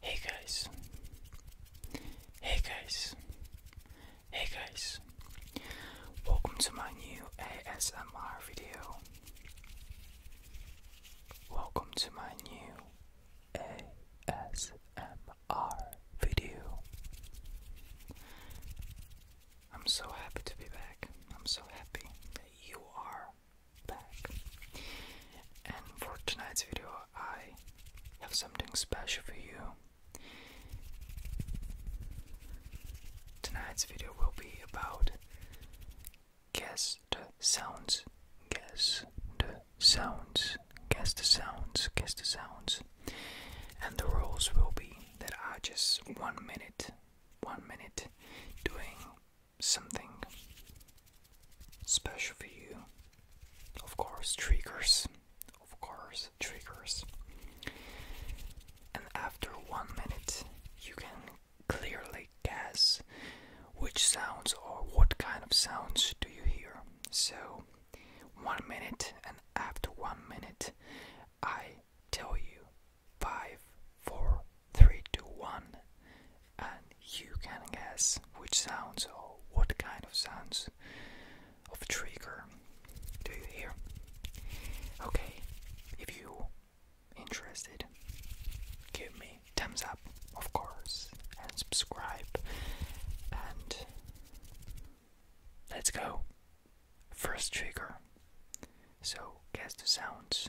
Hey guys. Hey guys. Hey guys. Welcome to my new ASMR video. Welcome to my new ASMR video. I'm so happy to be back. I'm so happy that you are back. And for tonight's video, I have something special for you. Tonight's video will be about guess the sounds. Guess the sounds guess the sounds, guess the sounds. And the rules will be that I just one minute, one minute doing something special for you. Of course, triggers. Of course, triggers. And after one minute, you can clearly guess which sounds or what kind of sounds do you hear. So one minute, and after one minute, I tell you five, four, three, two, one, and you can guess which sounds or what kind of sounds of trigger do you hear? Okay, if you interested, give me thumbs up, of course, and subscribe, and Let's go. First trigger. So, cast the sounds.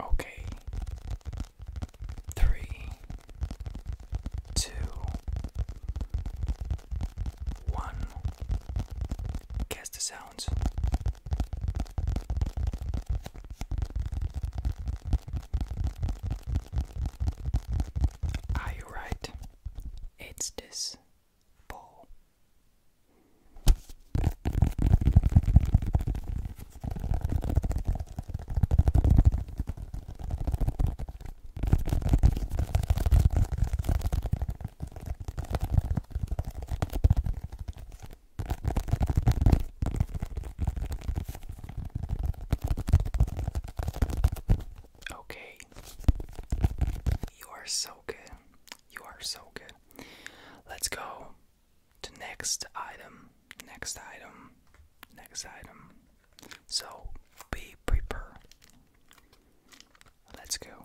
Okay. Three, two, one. Guess the sounds. Are you right? It's this ball. Okay. You are so good. You are so good. Let's go to next item. Next item. Next item. So be prepared. Let's go.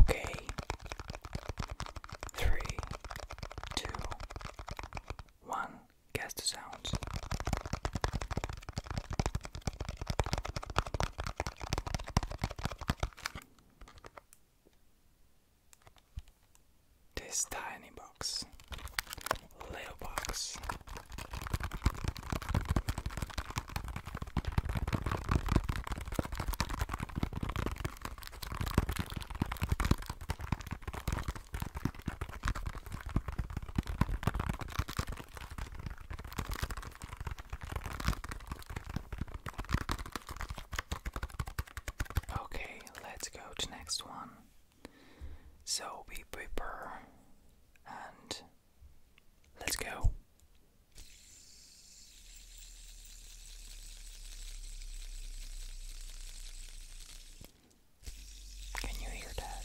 Okay. Three, two, one. Guess the sounds. This tiny box little box. Okay, let's go to next one. So be prepare and let's go. Can you hear that?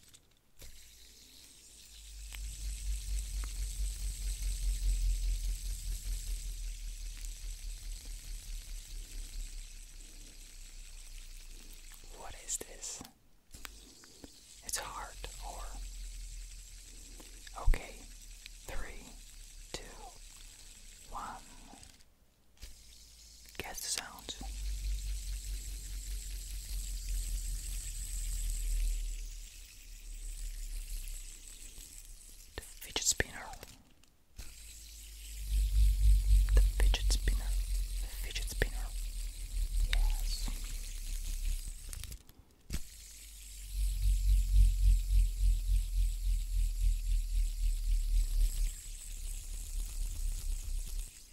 What is this? It's a heart or okay. Three, two, one. Guess the sounds. The fidget spinner. The fidget spinner. The fidget spinner. Yes.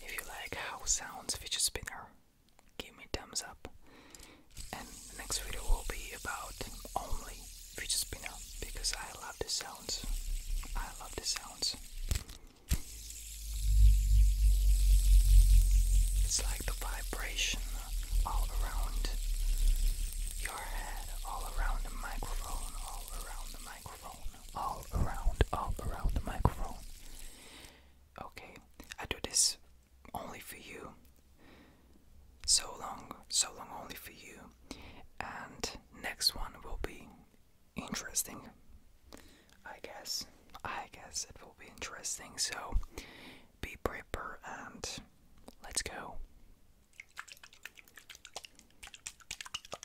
If you like how sounds fidget spinner, give me thumbs up. And the next video will be about only fidget spinner because I love the sounds. I love the sounds. It's like the vibration all around your head, all around the microphone, all around the microphone all around, all around the microphone. Okay, I do this only for you. So long, so long only for you. And next one will be interesting. I guess, I guess it will be interesting. So be prepared and let's go.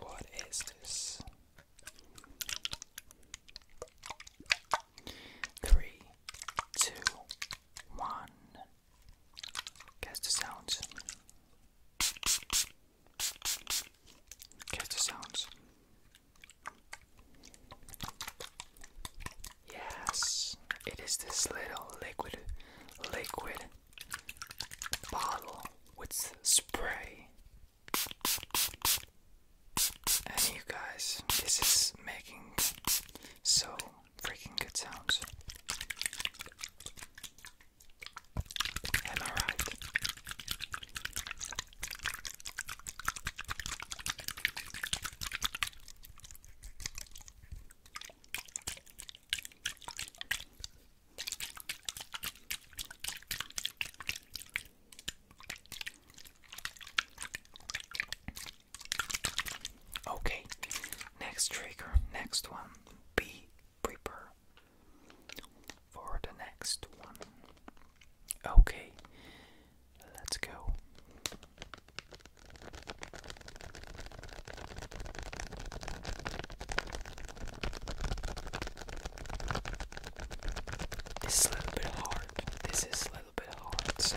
What is this? Three, two, one. Guess the sounds. Guess the sounds. Yes, it is this little liquid, liquid bottle with spray. And you guys, this is making so freaking good sounds. Am I right? Okay, next trigger, next one. Be prepared for the next one. Okay, let's go. This is a little bit hard. This is a little bit hard, so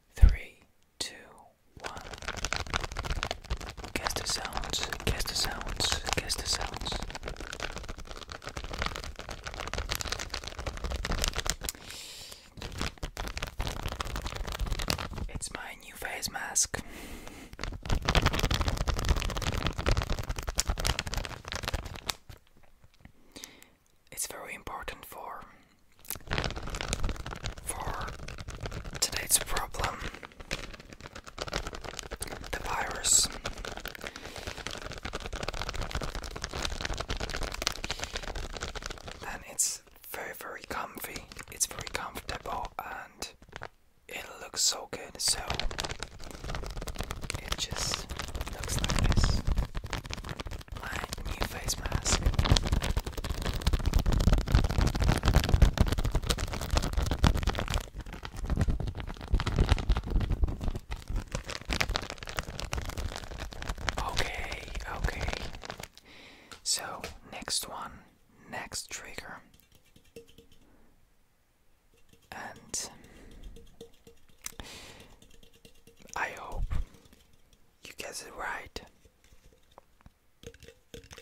three, two, one. Guess the sounds, guess the sounds, guess the sounds. It's my new face mask it's very important for for today's problem the virus and it's very very comfy it's very comfortable and it looks so good so it just looks like this Okay, okay. So, next one, next trigger. And I hope you guessed it right.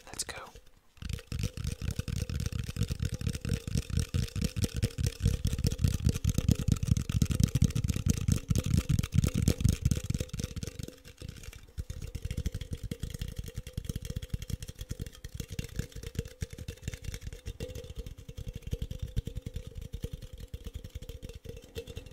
Let's go.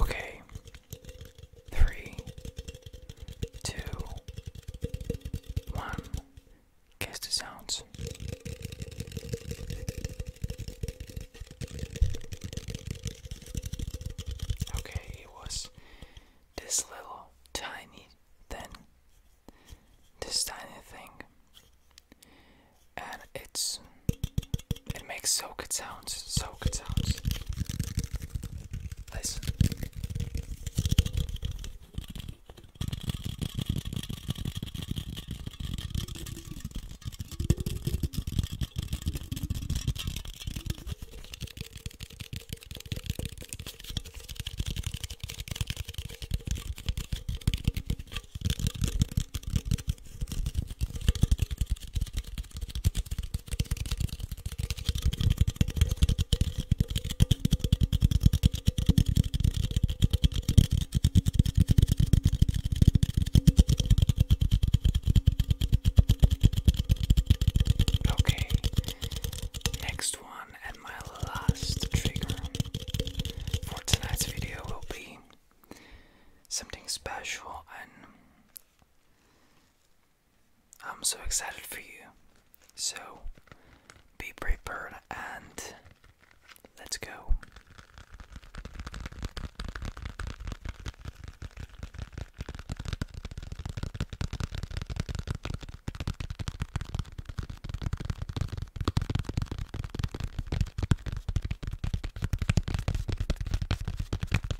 Okay. Three, two, one. Guess the sounds. Okay, it was this little tiny thing. This tiny thing. And it's it makes so good sounds, so good sounds. Listen. Okay, next one and my last trigger for tonight's video will be something special and I'm so excited for you. So be prepared and let's go.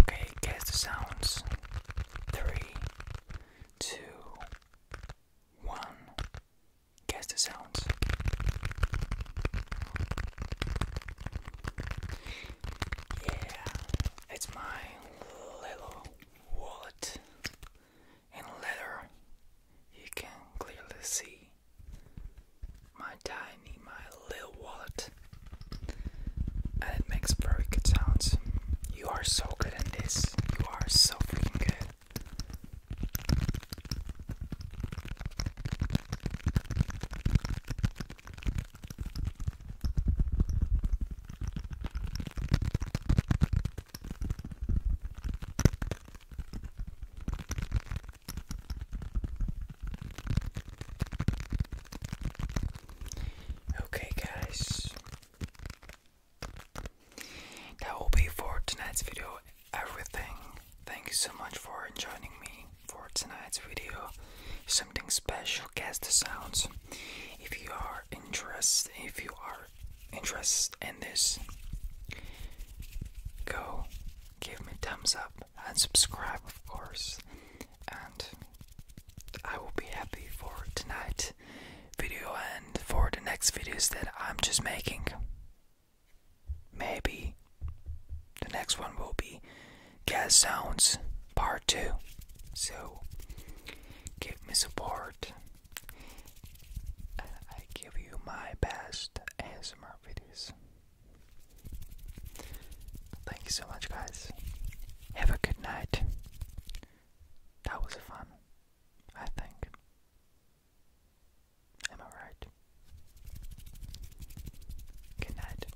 Okay, guess the sounds. Three, two, one. Guess the sounds. Yeah, it's my little wallet and later you can clearly see my tiny, my little wallet. And it makes very good sounds. You are so good at this. You are so freaking good. Okay, guys, that will be for tonight's video. Everything. Thank you so much for joining me for tonight's video. Something special, guess the sounds. If you are interested, if you are Interest in this, go give me a thumbs up and subscribe, of course. And I will be happy for tonight video and for the next videos that I'm just making. Maybe the next one will be Gas Sounds Part 2. So give me support uh, I give you my best ASMR videos. Thank you so much, guys. Have a good night. That was fun, I think. Am I right? Good night.